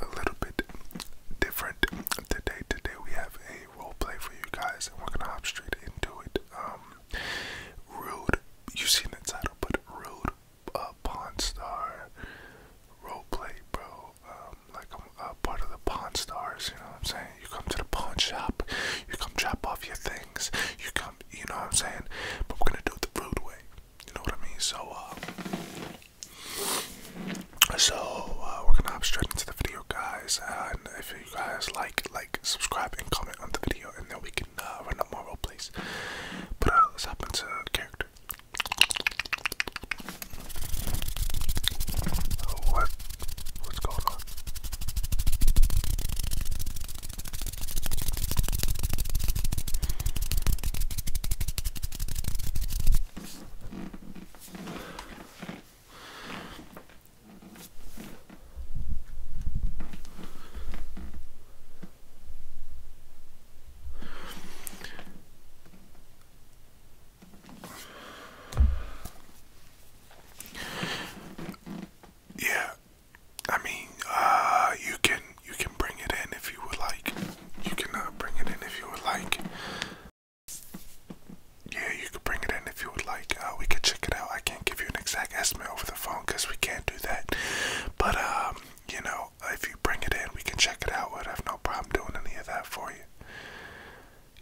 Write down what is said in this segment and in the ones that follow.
a little bit different today. Today we have a role play for you guys, and we're gonna hop straight into it. Um, rude, you've seen the title, but rude A Pawn Star role play, bro. Um, like I'm uh, part of the Pawn Stars. You know what I'm saying? You come to the pawn shop, you come drop off your things, you come. You know what I'm saying? But we're gonna do it the rude way. You know what I mean? So, uh, so uh, we're gonna hop straight into the video, guys. and if you guys like, like, subscribe, and comment on the video, and then we can uh, run up more role plays. But uh, let's hop into the character. What? What's going on? Yeah, I mean, uh, you can you can bring it in if you would like. You can bring it in if you would like. Yeah, you could bring it in if you would like. Uh, we could check it out. I can't give you an exact estimate over the phone because we can't do that. But um, you know, if you bring it in, we can check it out. We'd have no problem doing any of that for you.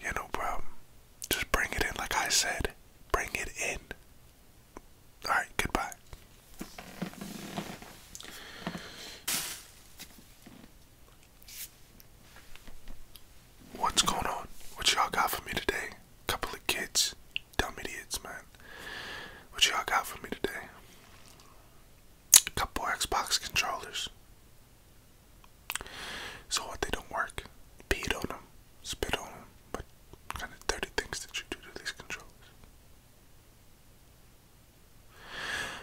Yeah, no problem. Just bring it in, like I said. Bring it in. All right. Goodbye. What's going on? What y'all got for me today? Couple of kids, dumb idiots, man. What y'all got for me today? A couple Xbox controllers. So what? They don't work. Peed on them, spit on them. What kind of dirty things did you do to these controllers?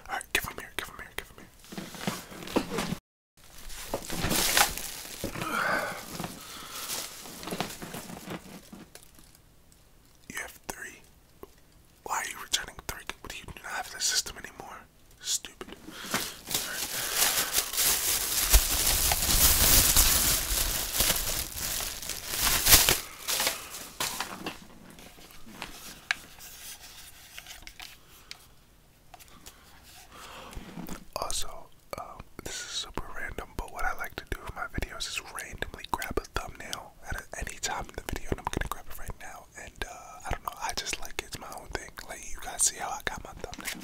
Alright, give him here, give him here, give him here. You have three. Why are you returning three? What do you do not have the system anymore? Stupid. Also, um, this is super random, but what I like to do in my videos is randomly grab a thumbnail at any time in the video, and I'm gonna grab it right now. And uh, I don't know, I just like it's my own thing. Like you guys see how I got my thumbnail.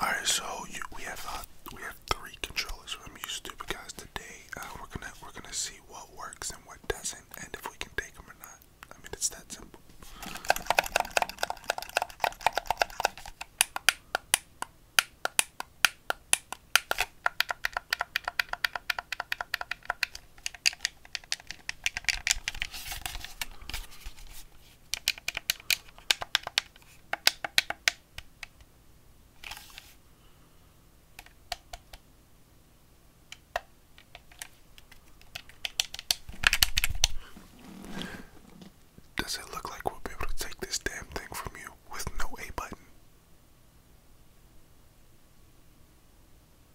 All right, so we have uh, we have three controllers from you to guys today. Uh, we're gonna we're gonna see what works and what doesn't, and if we can take them or not. I mean, it's that simple. Does it look like we'll be able to take this damn thing from you with no A button?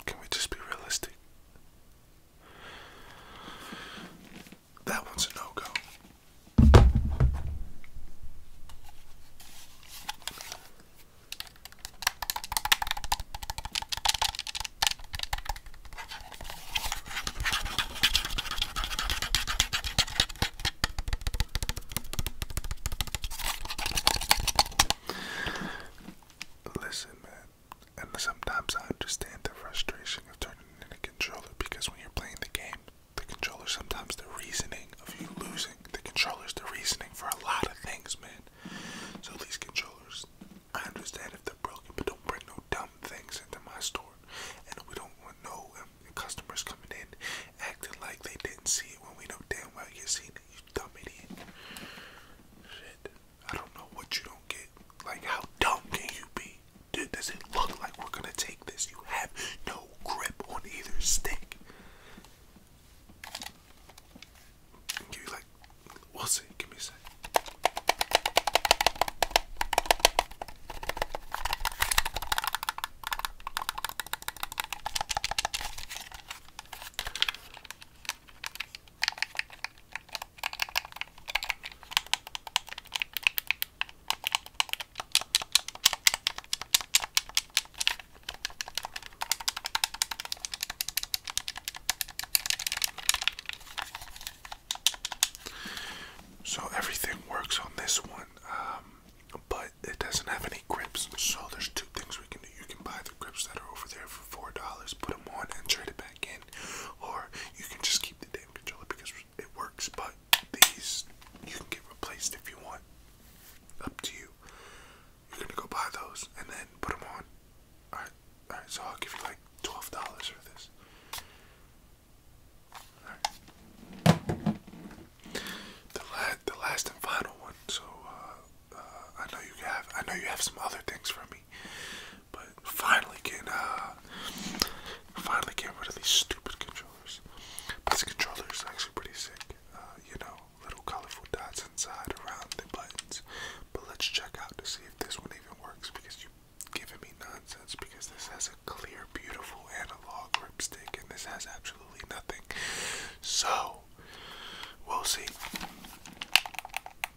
Can we just be realistic? That one's a no go. Listen, man. And sometimes I understand the frustration of turning in a controller because when you're playing the game, the controller sometimes the reasoning of you losing, the controller is the reasoning for a lot of things, man. So these controllers, I understand if they're broken, but don't bring no dumb things into my store. And we don't want no um, customers coming in acting like they didn't see it when we know damn well you seen it, you dumb idiot. Shit. I don't know what you don't get. Like, how dumb can you be? Dude, does it look like we're gonna take this? You have no grip on either stick. you like, we'll see. Give me a sec. So everything works on this one, um, but it doesn't have any grips. So there's two things we can do. You can buy the grips that are over there for four dollars, put them on, and trade it back or you can just keep the damn controller because it works. But these you can get replaced if you want. Up to you. You're gonna go buy those and then put them on. All right, all right. So I'll give you like twelve dollars for this. All right. The last, the last and final one. So uh, uh, I know you have, I know you have some other things for me. But finally get uh, finally getting rid of these stupid controllers. But this controller is actually pretty sick. Uh, you know, little colorful dots inside around the buttons. But let's check out to see if this one even works because you have given me nonsense because this has a clear, beautiful analog grip stick and this has absolutely nothing. So we'll see.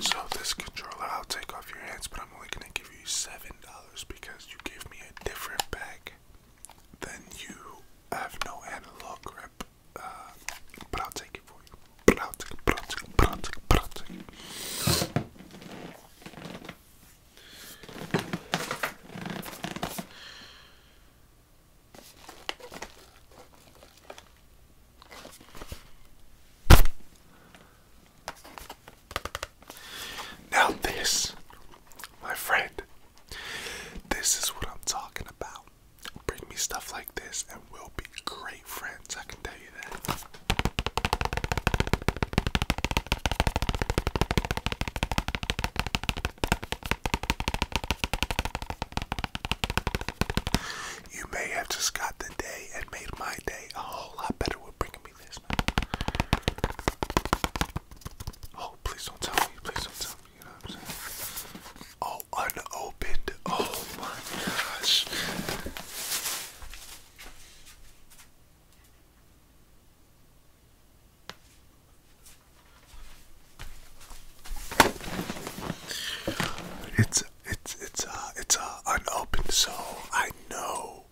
So, this controller, I'll take off your hands, but I'm only going to give you $7 because you gave me a different bag. Then you have no analog grip uh, take it for you. But I'll take Now, this, my friend, this is what I'm talking about bring me stuff like this and we'll be great friends, I can tell you that. You may have just got the day and made my day a whole lot better with bringing me this, man. Oh, please don't tell me, please don't tell me, you know what I'm saying? all oh, unopened. Oh my gosh. It's it's it's a uh, it's a uh, unopened so I know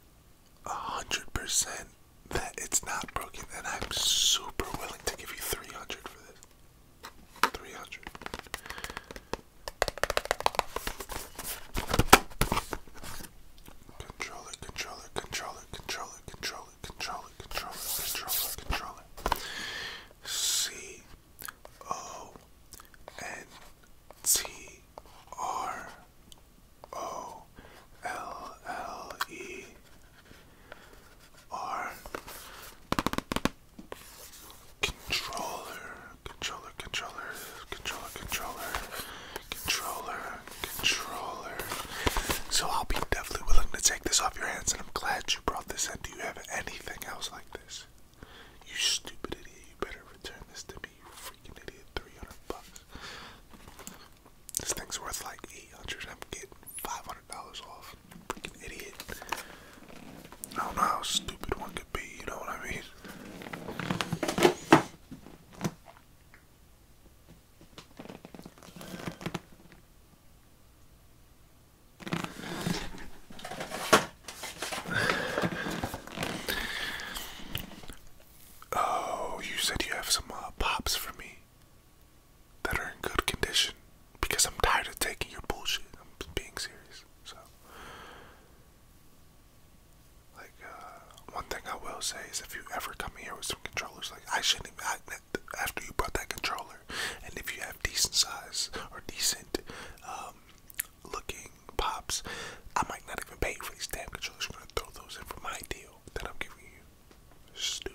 a hundred percent that it's not broken and I'm super willing to give you three hundred for this. Three hundred. Control it, control it, control it, control it, control C O N T R O L L E R Controller, controller, controller, controller, controller, controller, controller. So I'll be definitely willing to take this off your hands, and I'm glad you brought this in. Do you have anything else like this? You stupid idiot! You better return this to me, you freaking idiot. Three hundred bucks. This thing's worth like eight hundred. I'm getting five hundred dollars off freaking idiot. I don't know how stupid one could be, you know what I mean? Oh, you said you have some uh, pops for me that are in good condition because I'm tired of taking your bullshit. I'm being serious. So, like, uh, one thing I will say is if you ever come here with some controllers, like, I shouldn't even, I, after you brought that controller, and if you have decent size or decent um, looking pops, I might not even pay for these damn controllers. I'm going to throw those in for my deal that I'm giving you. stupid.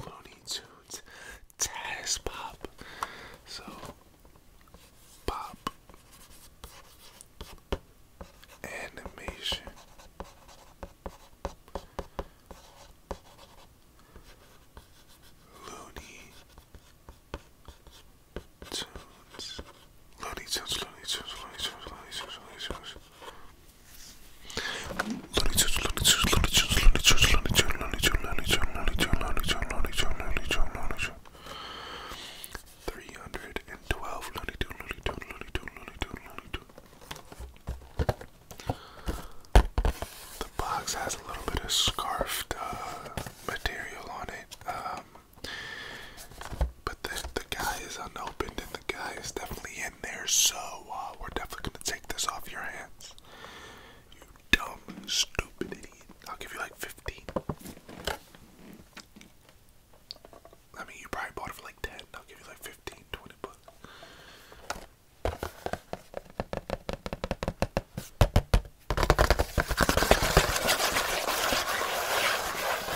Looney Tunes, Taz Pop. So, Pop Animation. Looney Tunes, Looney Tunes, Looney Tunes, Looney Tunes, Looney Tunes. Three hundred and twelve The box has a little bit of scarfed uh, material on it. Um, but the, the guy is unopened and the guy is definitely in there, so uh, we're definitely going to take this off your hands. You dumb, stupid idiot. I'll give you like 15. I mean, you probably bought it for like 10. I'll give you like 15, bucks. That's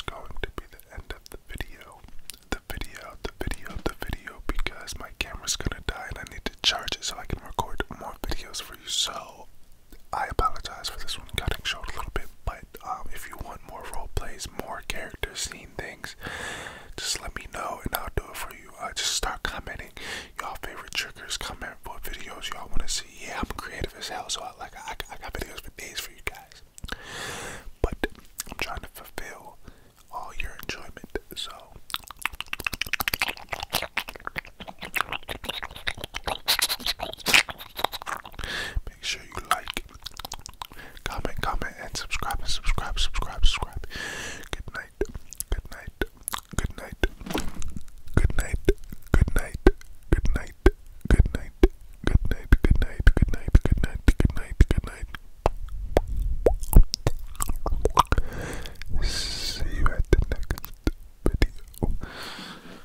going to be the end of the video. The video, the video, the video, because my camera's gonna die and I need to charge it so I can record more videos for you. So I apologize for this one cutting short a little bit, but um, if you want more role plays, more character scene things, just let me know and I'll do it for you. Uh, just start commenting y'all favorite triggers, comment what videos y'all want to see. Yeah, I'm creative as hell, so I like I, I got videos for days for you guys. But I'm trying to fulfill all your enjoyment, so. Make sure you like, comment, comment, and subscribe, and subscribe, subscribe, subscribe. Good night, good night, good night, good night, good night, good night, good night, good night, good night, good night, good night, good night, good night. See you at the next video.